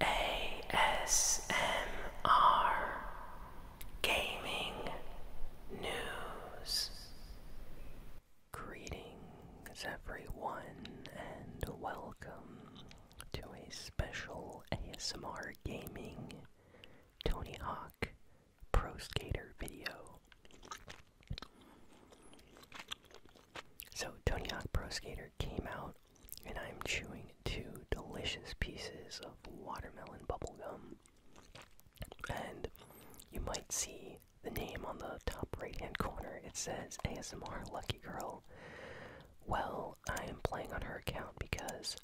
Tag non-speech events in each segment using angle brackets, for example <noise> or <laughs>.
ASMR Gaming News. Greetings, everyone, and welcome to a special ASMR Gaming Tony Hawk Pro Skater video. So, Tony Hawk Pro Skater came out and I am chewing two delicious pieces of watermelon bubblegum. And you might see the name on the top right hand corner. It says ASMR Lucky Girl. Well, I am playing on her account because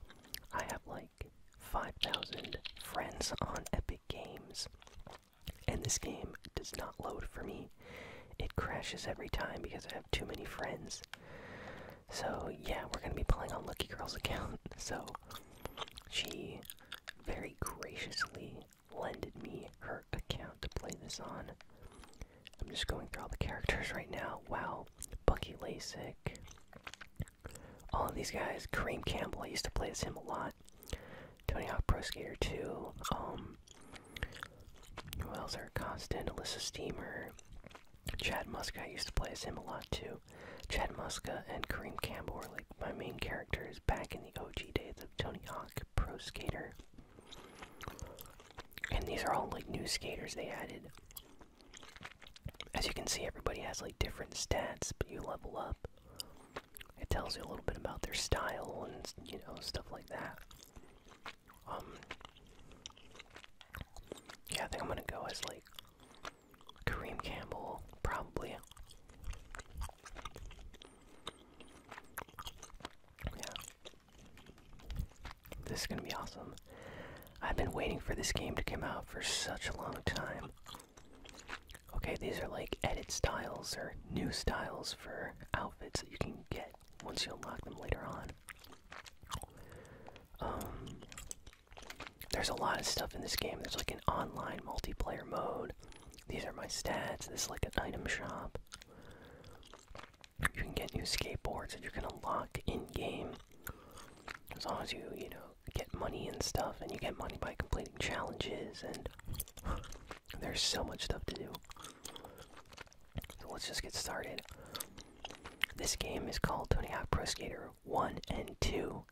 I have like 5,000 friends on Epic Games. And this game does not load for me it crashes every time because I have too many friends. So, yeah, we're gonna be playing on Lucky Girl's account. <laughs> So, she very graciously lended me her account to play this on. I'm just going through all the characters right now. Wow, Bucky Lasik. All of these guys. Kareem Campbell, I used to play as him a lot. Tony Hawk Pro Skater 2. Um, who else? Constant, Alyssa Steamer, Chad Muska. I used to play as him a lot too. Chad Muska and Kareem Campbell were like my main characters back in the OG days of Tony Hawk Pro Skater. And these are all like new skaters they added. As you can see, everybody has like different stats, but you level up. It tells you a little bit about their style and you know stuff like that. Um, yeah, I think I'm gonna go as like Kareem Campbell, probably. Yeah. This is gonna be awesome. I've been waiting for this game to come out for such a long time. Okay, these are like edit styles or new styles for outfits that you can get once you unlock them later on. Um, there's a lot of stuff in this game. There's like an online multiplayer mode. These are my stats. This is like an item shop. You can get new skateboards that you can unlock in game. As long as you, you know, get money and stuff, and you get money by completing challenges and there's so much stuff to do. So let's just get started. This game is called Tony Hawk Pro Skater 1 and 2.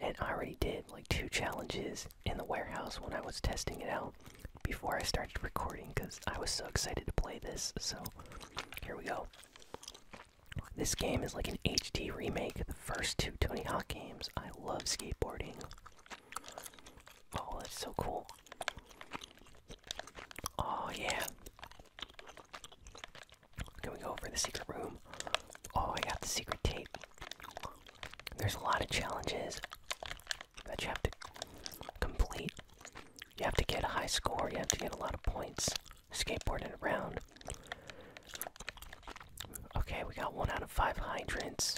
And I already did like two challenges in the warehouse when I was testing it out before I started recording because I was so excited to play this. So here we go. This game is like an HD remake of the first two Tony Hawk games. I love skateboarding. Oh, that's so cool. Oh, yeah. Can we go over the secret room? Oh, I got the secret tape. There's a lot of challenges that you have to complete. You have to get a high score, you have to get a lot of points skateboarding around. Okay, we got one out of five hydrants.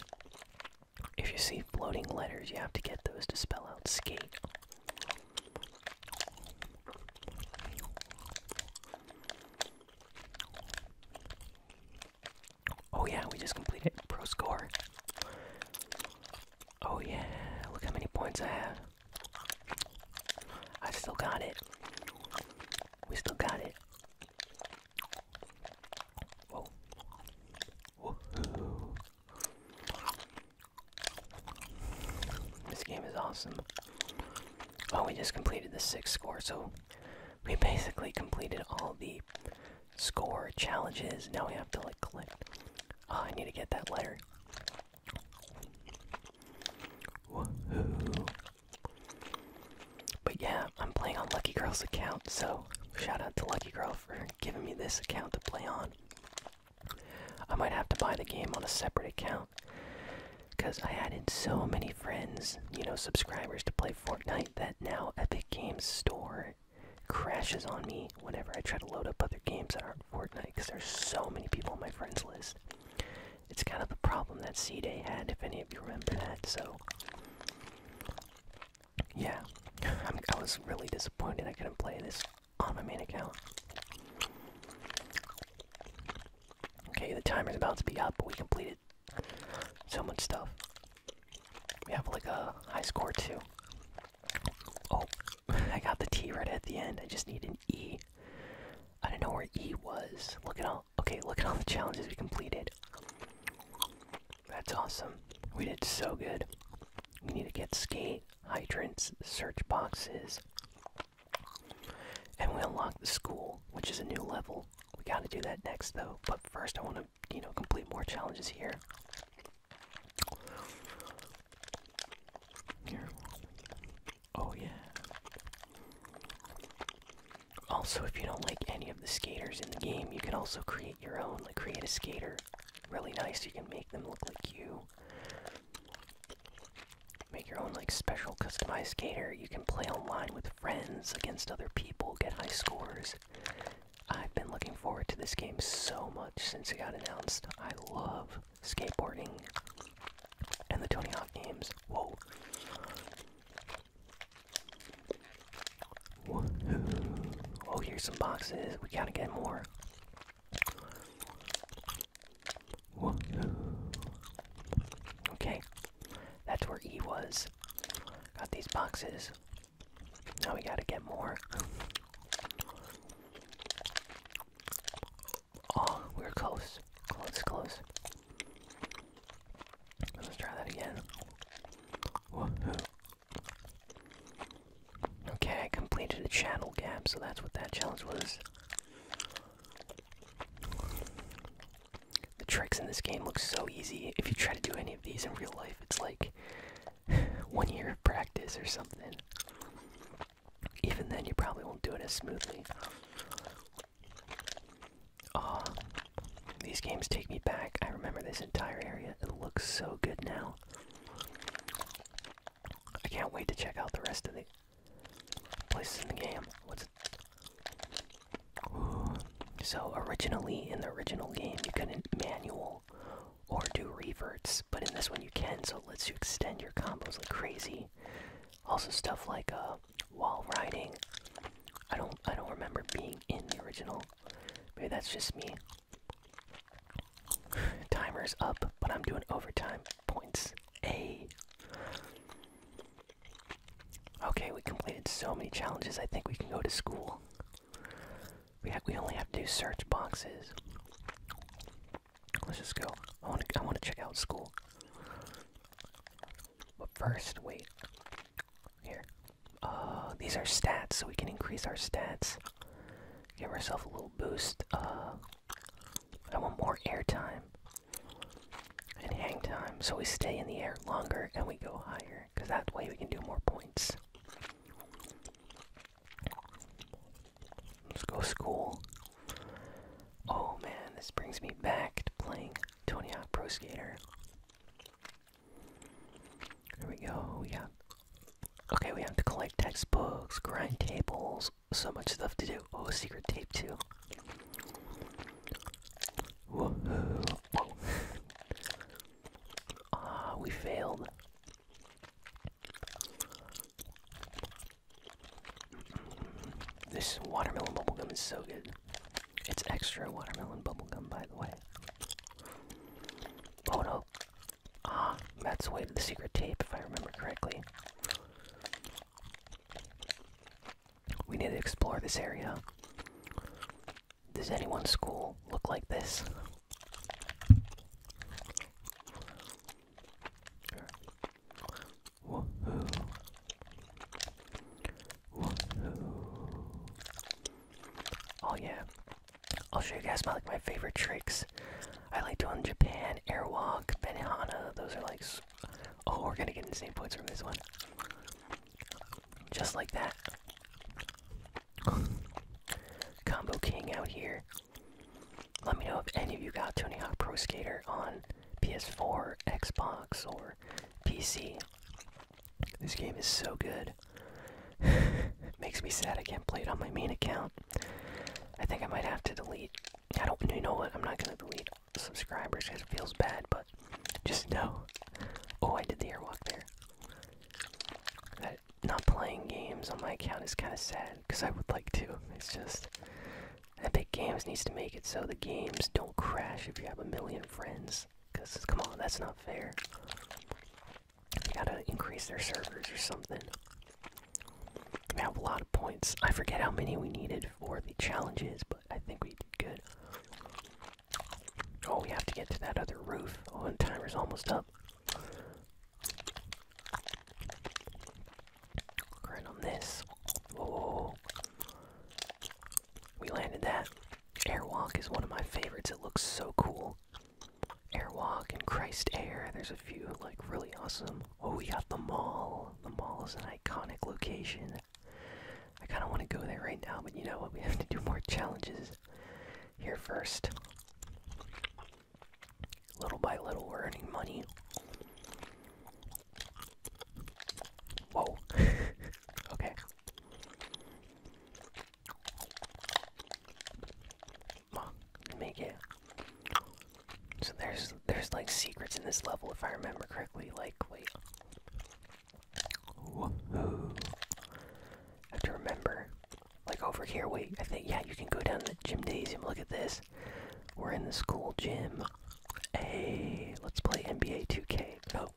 If you see floating letters, you have to get those to spell out skate. Oh, yeah, we just completed pro score. Oh, yeah, look how many points I have. I still got it. We still got it. This game is awesome. Oh, we just completed the sixth score, so we basically completed all the score challenges. Now we have to like collect. Oh, I need to get that letter. But yeah, I'm playing on Lucky Girl's account, so shout out to Lucky Girl for giving me this account to play on. I might have to buy the game on a separate account because I added so many friends, you know, subscribers to play Fortnite that now Epic Games Store crashes on me whenever I try to load up other games that aren't Fortnite because there's so many people on my friends list. It's kind of the problem that C Day had, if any of you remember that, so yeah, i was really disappointed I couldn't play this on my main account. Okay, the timer's about to be up, but we completed so much stuff. We have like a high score too. Oh, <laughs> I got the T right at the end. I just need an E. I don't know where E was. Look at all Okay, look at all the challenges we completed. That's awesome. We did so good. We need to get skate, hydrants, search boxes. And we unlock the school, which is a new level. We gotta do that next though. But first I wanna, you know, complete more challenges here. Here. Oh yeah. Also, if you don't like any of the skaters in the game, you can also create your own. Like, create a skater. Really nice. You can make them look like you. Make your own, like, special customized skater. You can play online with friends against other people, get high scores. I've been looking forward to this game so much since it got announced. I love skateboarding and the Tony Hawk games. Whoa. Oh, here's some boxes. We gotta get more. Okay. That's where E was. Got these boxes. Now we gotta get more. Oh, we're close. Close, close. Let's try that again. Woohoo. Okay, I completed the channel gap, so that's what that challenge was. The tricks in this game look so easy. If you try to do any of these in real life, it's like <sighs> one year of practice or something. Even then, you probably won't do it as smoothly. Ah, these games take me back. I remember this entire area. It looks so good now. I can't wait to check out the rest of the places in the game. So originally in the original game you couldn't manual or do reverts, but in this one you can. So it lets you extend your combos like crazy. Also stuff like uh, while riding. I don't I don't remember being in the original. Maybe that's just me. <sighs> Timer's up, but I'm doing overtime points. A. Okay, we completed so many challenges. I think we can go to school. We ha we only have to search boxes. Let's just go. I want to I want to check out school. But first, wait. Here. Uh, these are stats, so we can increase our stats. Give ourselves a little boost. Uh, I want more air time and hang time, so we stay in the air longer and we go higher, because that way we can do more points. Let's go school. Oh man, this brings me back to playing Tony Hawk Pro Skater. Here we go. We got. Okay, we have to collect textbooks, grind tables, so much stuff to do. Oh, secret tape too. <laughs> Ah, we failed. This watermelon bubblegum is so good. It's extra watermelon bubblegum, by the way. Oh no. Ah, that's the way the secret tape, if I remember correctly. We need to explore this area. Does anyone's school look like this? Woohoo! Woohoo! Oh yeah! I'll show you guys my like my favorite tricks. I like doing Japan, Airwalk, Benihana. Those are like. Oh, we're gonna get insane points from this one. Just like that. Combo King out here. Let me know if any of you got Tony Hawk Pro Skater on PS4, Xbox, or PC. This game is so good. <laughs> Makes me sad I can't play it on my main account. I think I might have to delete. I don't. You know what? I'm not gonna delete subscribers because it feels bad, but just know. Oh, I did the airwalk there. not playing games on my account is kind of sad because I would like to. It's just Epic Games needs to make it so the games don't crash if you have a million friends. Because, come on, that's not fair. You gotta increase their servers or something. We have a lot of points. I forget how many we needed for the challenges, but I think we did good. Oh, we have to get to that other roof. Oh, and timer's almost up. Right on this. Whoa. We landed that. Airwalk is one of my favorites. It looks so cool. Airwalk and Christ Air. There's a few like really awesome. Oh, we got the mall. The mall is an iconic location. I kind of want to go there right now, but you know what? We have to do more challenges here first. Little by little, we're earning money. Whoa. <laughs> okay. make it. So there's there's like secrets in this level if I remember correctly. Like wait. I have to remember. Like over here, wait, I think yeah, you can go down the gymnasium, look at this. We're in the school gym. Hey, let's play NBA 2K. Oh,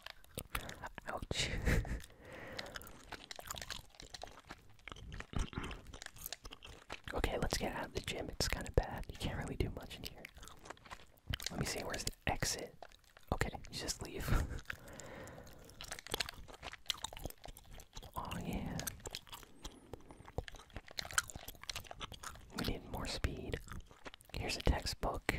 ouch. <laughs> okay, let's get out of the gym. It's kind of bad. You can't really do much in here. Let me see, where's the exit? Okay, just leave. <laughs> oh, yeah. We need more speed. Here's a textbook.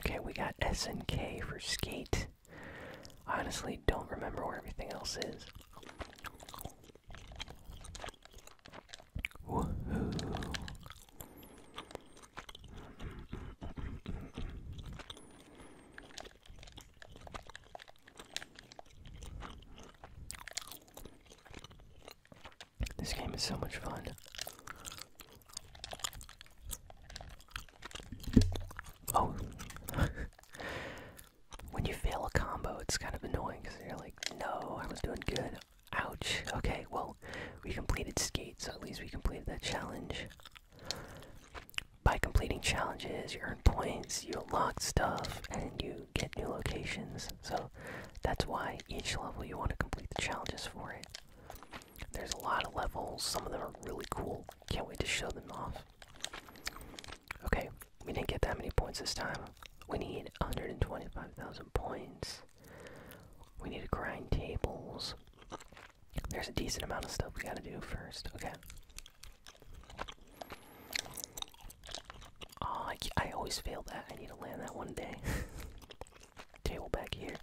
Okay, we got S and K for skate. I honestly don't remember where everything else is. Woohoo! This game is so much fun. Oh. <laughs> when you fail a combo, it's kind of annoying because you're like, no, I was doing good. Ouch. Okay, well, we completed skate, so at least we completed that challenge. By completing challenges, you earn points, you unlock stuff, and you get new locations. So that's why each level you want to complete the challenges for it. There's a lot of levels, some of them are really cool. Can't wait to show them off. Okay, we didn't get that many points this time. We need 125,000 points. We need to grind tables. There's a decent amount of stuff we gotta do first. Okay. Oh, I, always fail that. I need to land that one day. <laughs> Table back here.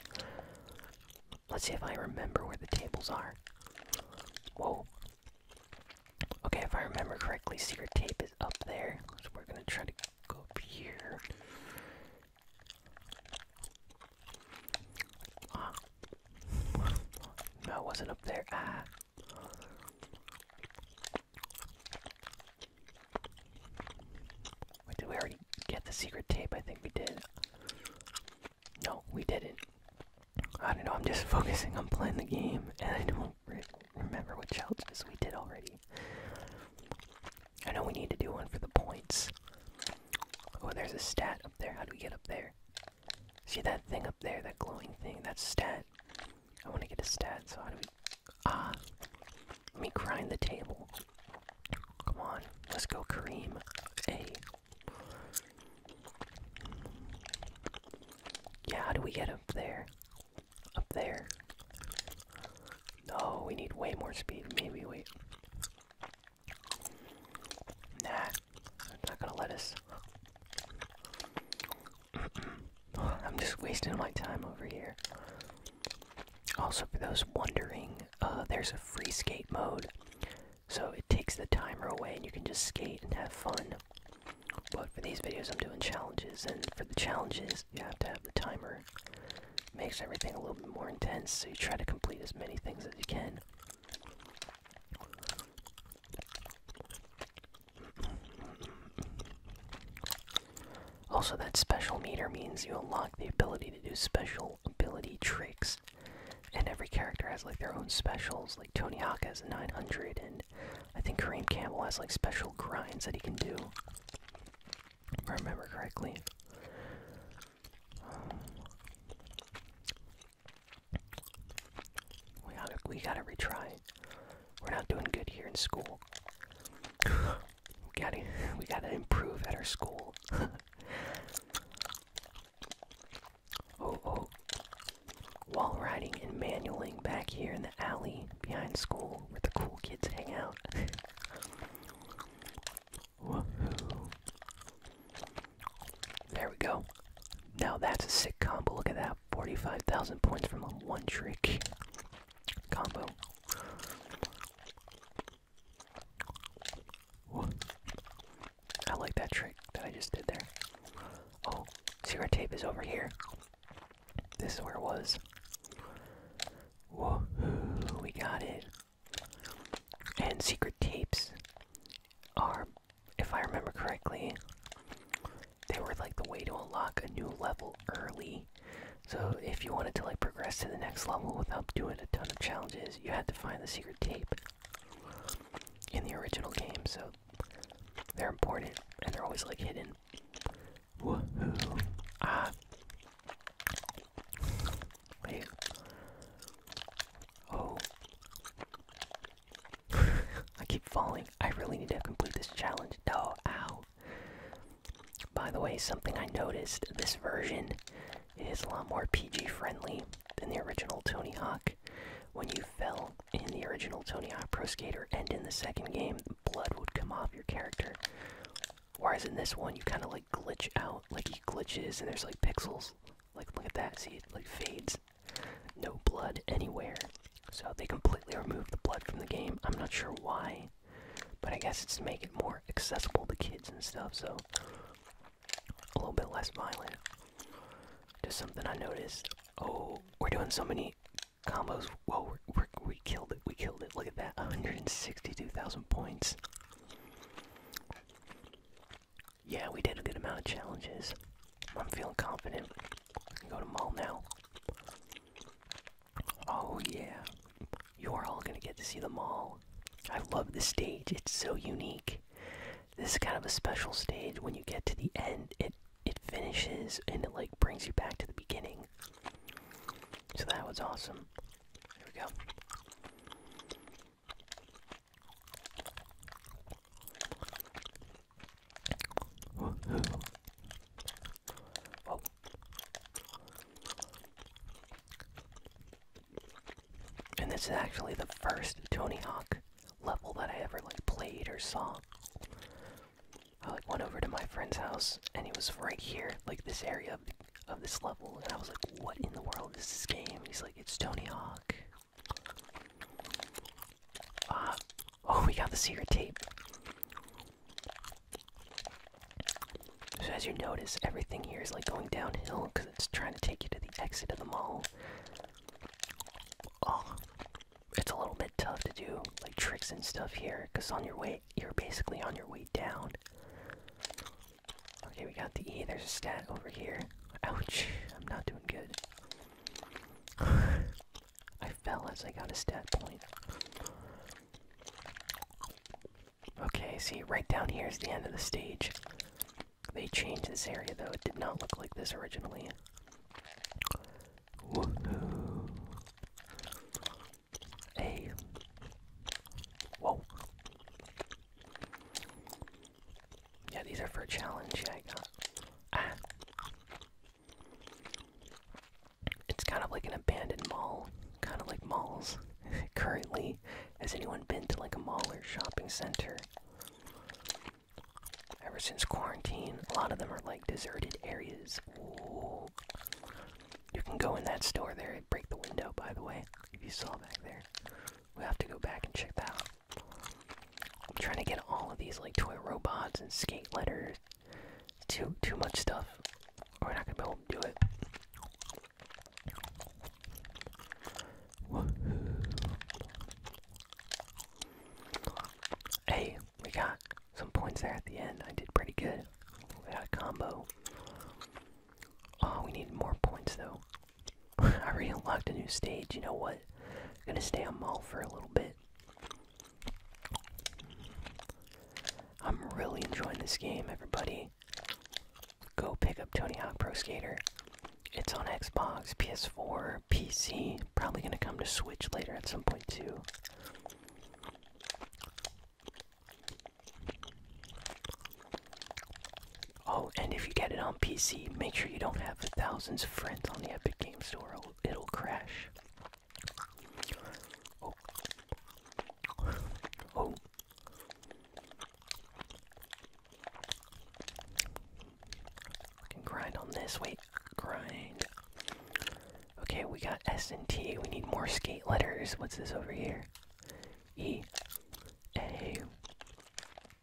Let's see if I remember where the tables are. Whoa. Okay, if I remember correctly, secret tape is up there. we're gonna try to go up here. <laughs> no, I wasn't up there. Ah. Wait, did we already get the secret tape? I think we did. No, we didn't. I don't know, I'm just <laughs> focusing on playing the game, and I don't remember which challenges we did already. I know we need to do one for the points. Oh, there's a stat up there. How do we get up there? See that thing up there, that glowing thing? That's stat. I want to get a stat, so how do we. Ah! Let me grind the table. Come on, let's go, cream A. Yeah, how do we get up there? Up there. Oh, we need way more speed. Maybe wait. Nah, I'm not gonna let us. <clears throat> I'm just wasting my time over here. Also, for those wondering, uh, there's a free skate mode. So it takes the timer away and you can just skate and have fun. But for these videos, I'm doing challenges, and for the challenges, you have to have the timer Makes everything a little bit more intense, so you try to complete as many things as you can. Also, that special meter means you unlock the ability to do special ability tricks. And every character has like their own specials. Like Tony Hawk has a 900, and I think Kareem Campbell has like special grinds that he can do, if I remember correctly. We gotta, we gotta retry. We're not doing good here in school. <sighs> we gotta, we gotta improve at our school. <laughs> oh, oh. While riding and manualing back here in the alley behind school where the cool kids hang out. <laughs> There we go. Now that's a sick combo. Look at that. 45,000 points from a one trick combo. I like that trick that I just did there. Oh, cigarette tape is over here. This is where it was. Whoa, we got it. And secret tapes are, if I remember correctly, they were like the way to unlock a new level early. So if you wanted to like progress to the next level without doing a ton of challenges, you had to find the secret tape in the original game. So they're important and they're always like hidden. Woohoo! Ah, Wait. Oh. <laughs> I keep falling. I really need to complete this challenge. Oh, ow. By the way, something I noticed this version is a lot more PG friendly than the original Tony Hawk. When you fell in the original Tony Hawk Pro Skater and in the second game, blood would come off your character. Whereas in this one, you kind of like glitch out, like he glitches, and there's like pixels. Like look at that, see it like fades. No blood anywhere. So they completely removed the blood from the game. I'm not sure why, but I guess it's to make it more accessible to kids and stuff. So a little bit less violent. Just something I noticed. Oh, we're doing so many combos. Whoa, we're, we're, we killed it. We killed it. Look at that 162,000 points. Yeah, we did a good amount of challenges. I'm feeling confident. Go to mall now. Oh, yeah. You are all gonna get to see the mall. I love the stage, it's so unique. This is kind of a special stage. When you get to the end, it it finishes and it like brings you back to the beginning. So that was awesome. Here we go. Oh. And this is actually the first Tony Hawk level that I ever like played or saw. I like went over to my friend's house and he was right here, like this area of, this level, and I was like, what in the world is this game? he's like, it's Tony Hawk. Uh, oh, we got the secret tape. So as you notice, everything here is like going downhill because it's trying to take you to the exit of the mall. Oh, it's a little bit tough to do like tricks and stuff here because on your way you're basically on your way down. Okay, we got the E. There's a stag over here. Ouch, I'm not doing good. <sighs> I fell as I got a stat point. Okay, see, right down here is the end of the stage. They changed this area though, it did not look like this originally a whoa. Yeah, these are for challenge. Yeah, ah. It's kind of like an abandoned mall, kind of like malls. <laughs> Currently, has anyone been to like a mall or shopping center? Ever since quarantine, a lot of them are like deserted areas. You can go in that store there and break the window, by the way, if you saw back there. we have to go back and check that out. I'm trying to get all of these, like, toy robots and skate letters. Too, too much stuff. We're not gonna be able to do it. Hey, we got some points there at the end. I did pretty good. We got a combo. Oh, we need more points though. <laughs> I really unlocked a new stage. You know what? I'm gonna stay on mall for a little bit. I'm really enjoying this game, everybody. Go pick up Tony Hawk Pro Skater. It's on Xbox, PS4, PC. Probably gonna come to Switch later at some point too. Oh, and if you get it on PC, make sure you don't have thousands of friends on the Epic Games Store. It'll, it'll crash. Oh. Oh. I can grind on this. Wait, grind. Okay, we got S and T. We need more skate letters. What's this over here? E, A.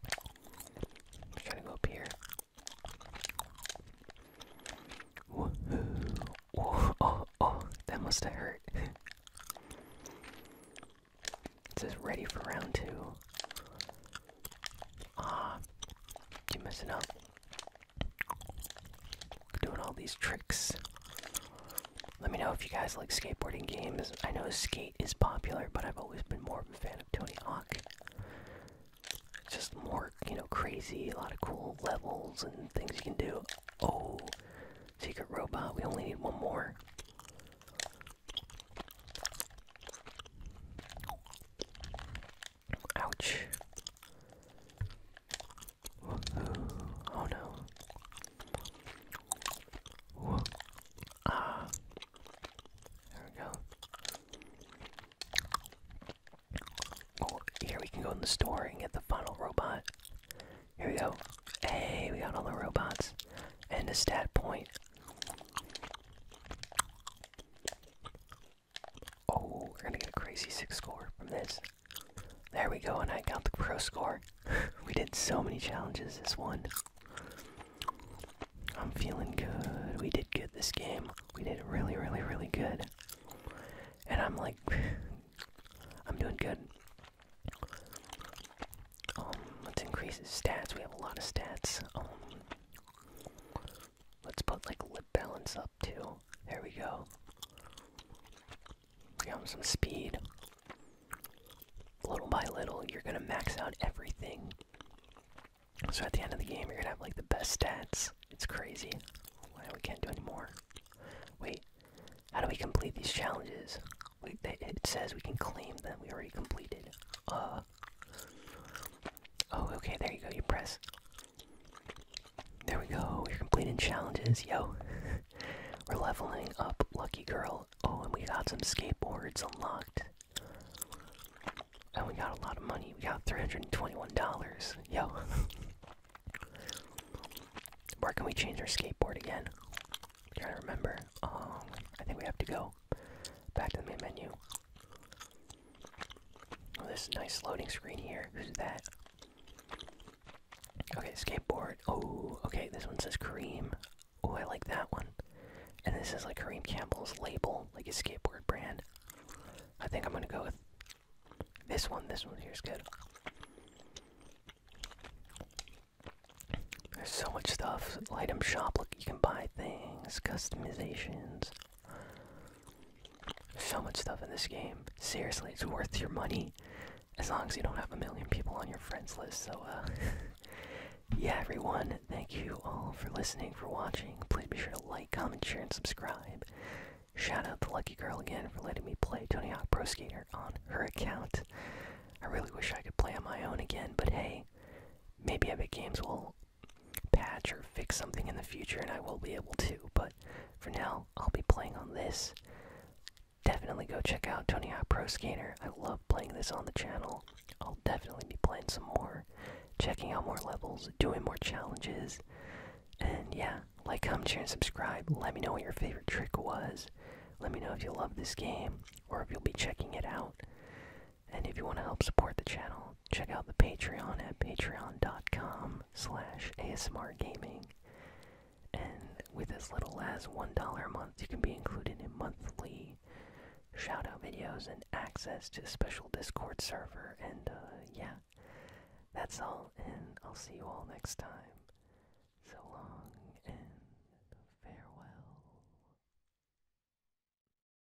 I'm trying to go up here. Woohoo! Oh, oh, oh, that must have hurt. it says ready for round two. Ah, you messing up. Doing all these tricks. Let me know if you guys like skateboarding games. I know skate is popular, but I've always been more of a fan of Tony Hawk. Just more, you know, crazy, a lot of cool levels and things you can do. Oh, secret robot. We only need one more. Ouch. Oh no. Ah. There we go. Oh, here we can go in the store and get the final robot. Here we go. Hey, we got all the robots. And a stat point. Oh, we're gonna get a crazy six score from this. There we go, and I got the pro score. <laughs> we did so many challenges this one. I'm feeling good. We did good this game. We did really, really, really good. And I'm like, <sighs> I'm doing good. Um, let's increase his stats. We have a lot of stats. Um, Let's put like lip balance up too. There we go. Give him some speed. Little by little, you're gonna max out everything. So at the end of the game, you're gonna have like the best stats. It's crazy. Why we can't do any more? Wait, how do we complete these challenges? We, it says we can claim them. We already completed. Uh. Oh, okay. There you go. You press there we go. We're completing challenges, yo. <laughs> We're leveling up Lucky Girl. Oh, and we got some skateboards unlocked. And we got a lot of money. We got $321. Yo. <laughs> Where can we change our skateboard again? I'm trying to remember. Um, I think we have to go back to the main menu. Oh, this nice loading screen here. Who's that? Okay, skateboard. Oh, okay, this one says Kareem. Oh, I like that one. And this is like Kareem Campbell's label, like a skateboard brand. I think I'm gonna go with this one. This one here's good. There's so much stuff. Item shop. Look, you can buy things, customizations. So much stuff in this game. Seriously, it's worth your money as long as you don't have a million people on your friends list. So, uh, <laughs> yeah, everyone, thank you all for listening, for watching. Please be sure to like, comment, share, and subscribe. Shout out to Lucky Girl again for letting me play Tony Hawk Pro Skater on her account. I really wish I could play on my own again, but hey, maybe Epic Games will patch or fix something in the future, and I will be able to. But for now, I'll be playing on this. Definitely go check out Tony Hawk Pro Skater. I love playing this on the channel. I'll definitely be playing some more, checking out more levels, doing more challenges. And yeah, like, comment, share, and subscribe. Let me know what your favorite trick was. Let me know if you love this game or if you'll be checking it out. And if you want to help support the channel, check out the Patreon at patreon.com slash ASMRgaming. And with as little as $1 a month, you can be included in monthly shoutout videos and access to a special Discord server. And, uh, yeah, that's all, and I'll see you all next time. So long, and farewell.